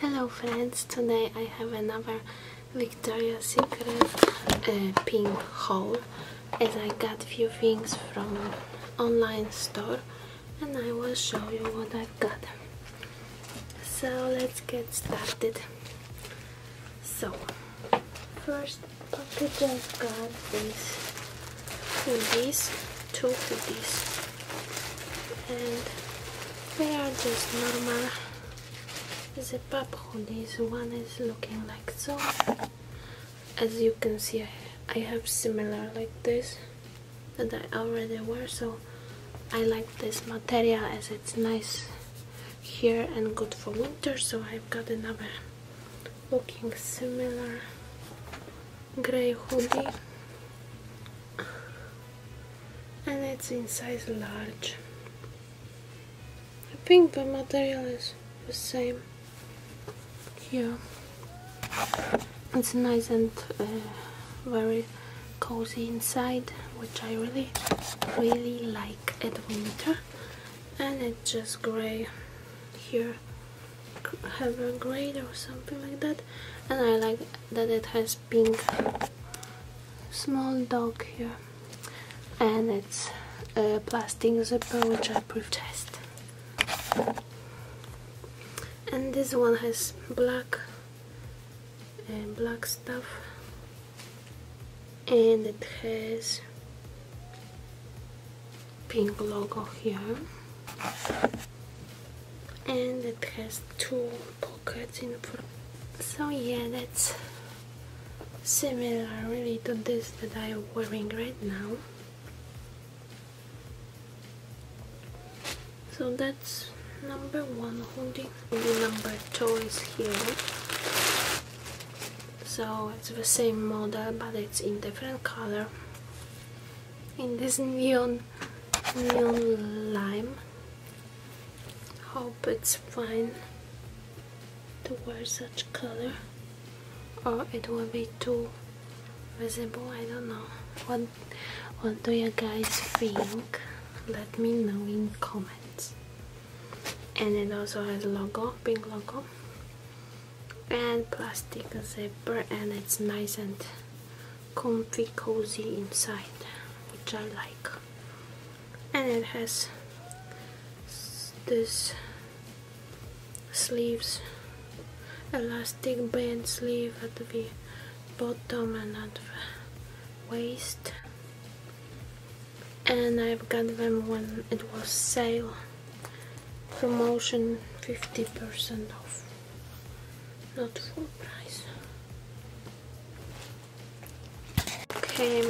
Hello friends, today I have another Victoria Secret uh, pink haul as I got few things from online store and I will show you what i got. So let's get started. So first package I've got is this two hoodies and they are just normal zip up hoodies one is looking like so as you can see I have similar like this that I already wear so I like this material as it's nice here and good for winter so I've got another looking similar grey hoodie and it's in size large I think the material is the same here it's nice and uh, very cozy inside which I really really like at winter and it's just grey here have a grade or something like that and I like that it has pink small dog here and it's a plastic zipper which I purchased and this one has black and uh, black stuff and it has pink logo here and it has two pockets in front so yeah that's similar really to this that I am wearing right now so that's number one hoodie number two is here so it's the same model uh, but it's in different color in this neon neon lime hope it's fine to wear such color or it will be too visible I don't know what what do you guys think let me know in comments and it also has logo pink logo and plastic zipper and it's nice and comfy cozy inside which I like and it has this sleeves elastic band sleeve at the bottom and at the waist and I've got them when it was sale promotion 50% off not full price okay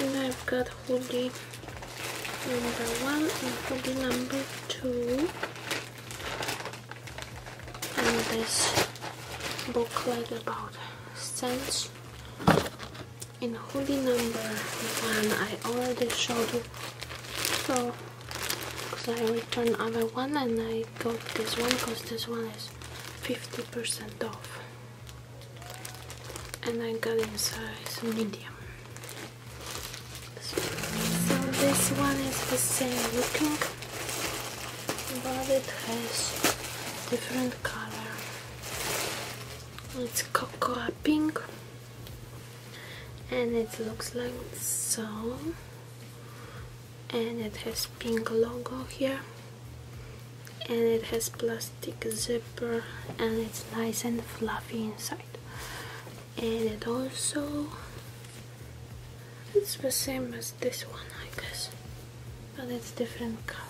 and I've got hoodie number one and hoodie number two in this booklet about scents. In hoodie number one, I already showed you, so because I returned other one and I got this one because this one is 50% off, and I got in size medium. So this one is the same looking but it has different color. It's cocoa pink and it looks like so and it has pink logo here and it has plastic zipper and it's nice and fluffy inside and it also it's the same as this one I guess but it's different color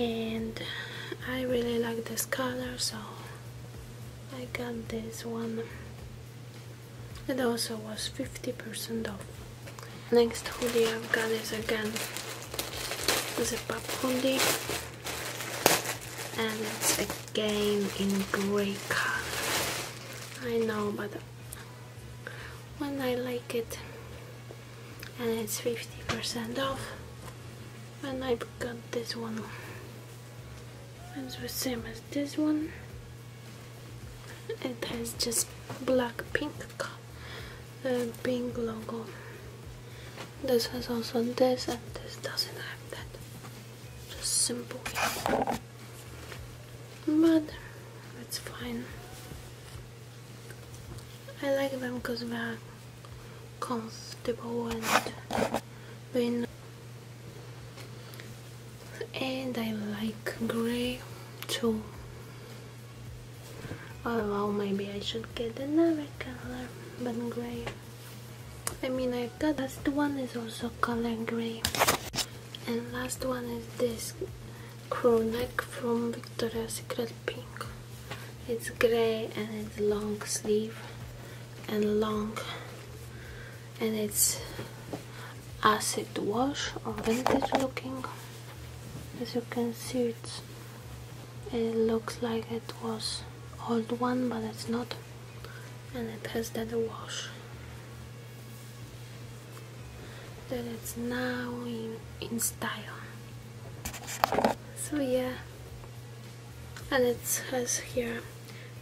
and, I really like this color so I got this one it also was 50% off next hoodie I've got is again the pop hoodie and it's again in grey color I know but when I like it and it's 50% off when I got this one it's the same as this one it has just black pink uh, pink logo this has also this and this doesn't have that. Just simple. But it's fine. I like them because they are comfortable and they and I like grey too Oh well, maybe I should get another color but grey I mean I got last one is also color gray and last one is this crew neck from Victoria's Secret Pink it's gray and it's long sleeve and long and it's acid wash or vintage looking as you can see it's it looks like it was old one but it's not and it has that wash that it's now in, in style so yeah and it has here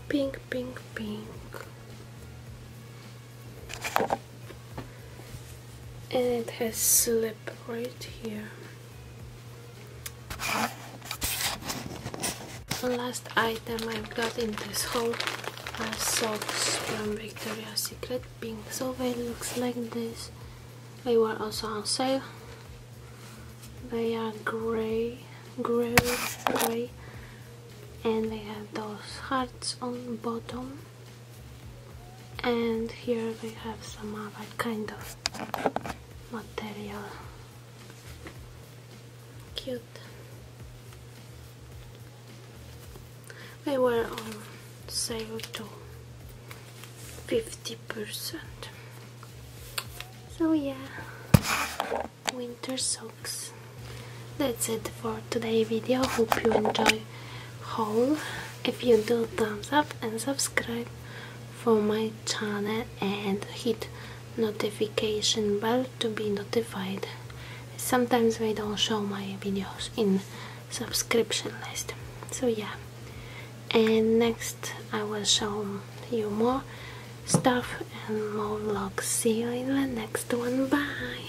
pink pink pink and it has slip right here last item I've got in this haul are socks from Victoria's Secret pink sofa looks like this they were also on sale they are gray gray gray and they have those hearts on bottom and here we have some other kind of material cute they were on sale to 50% so yeah winter socks that's it for today's video hope you enjoy haul if you do thumbs up and subscribe for my channel and hit notification bell to be notified sometimes they don't show my videos in subscription list so yeah and next I will show you more stuff and more vlogs see you in the next one bye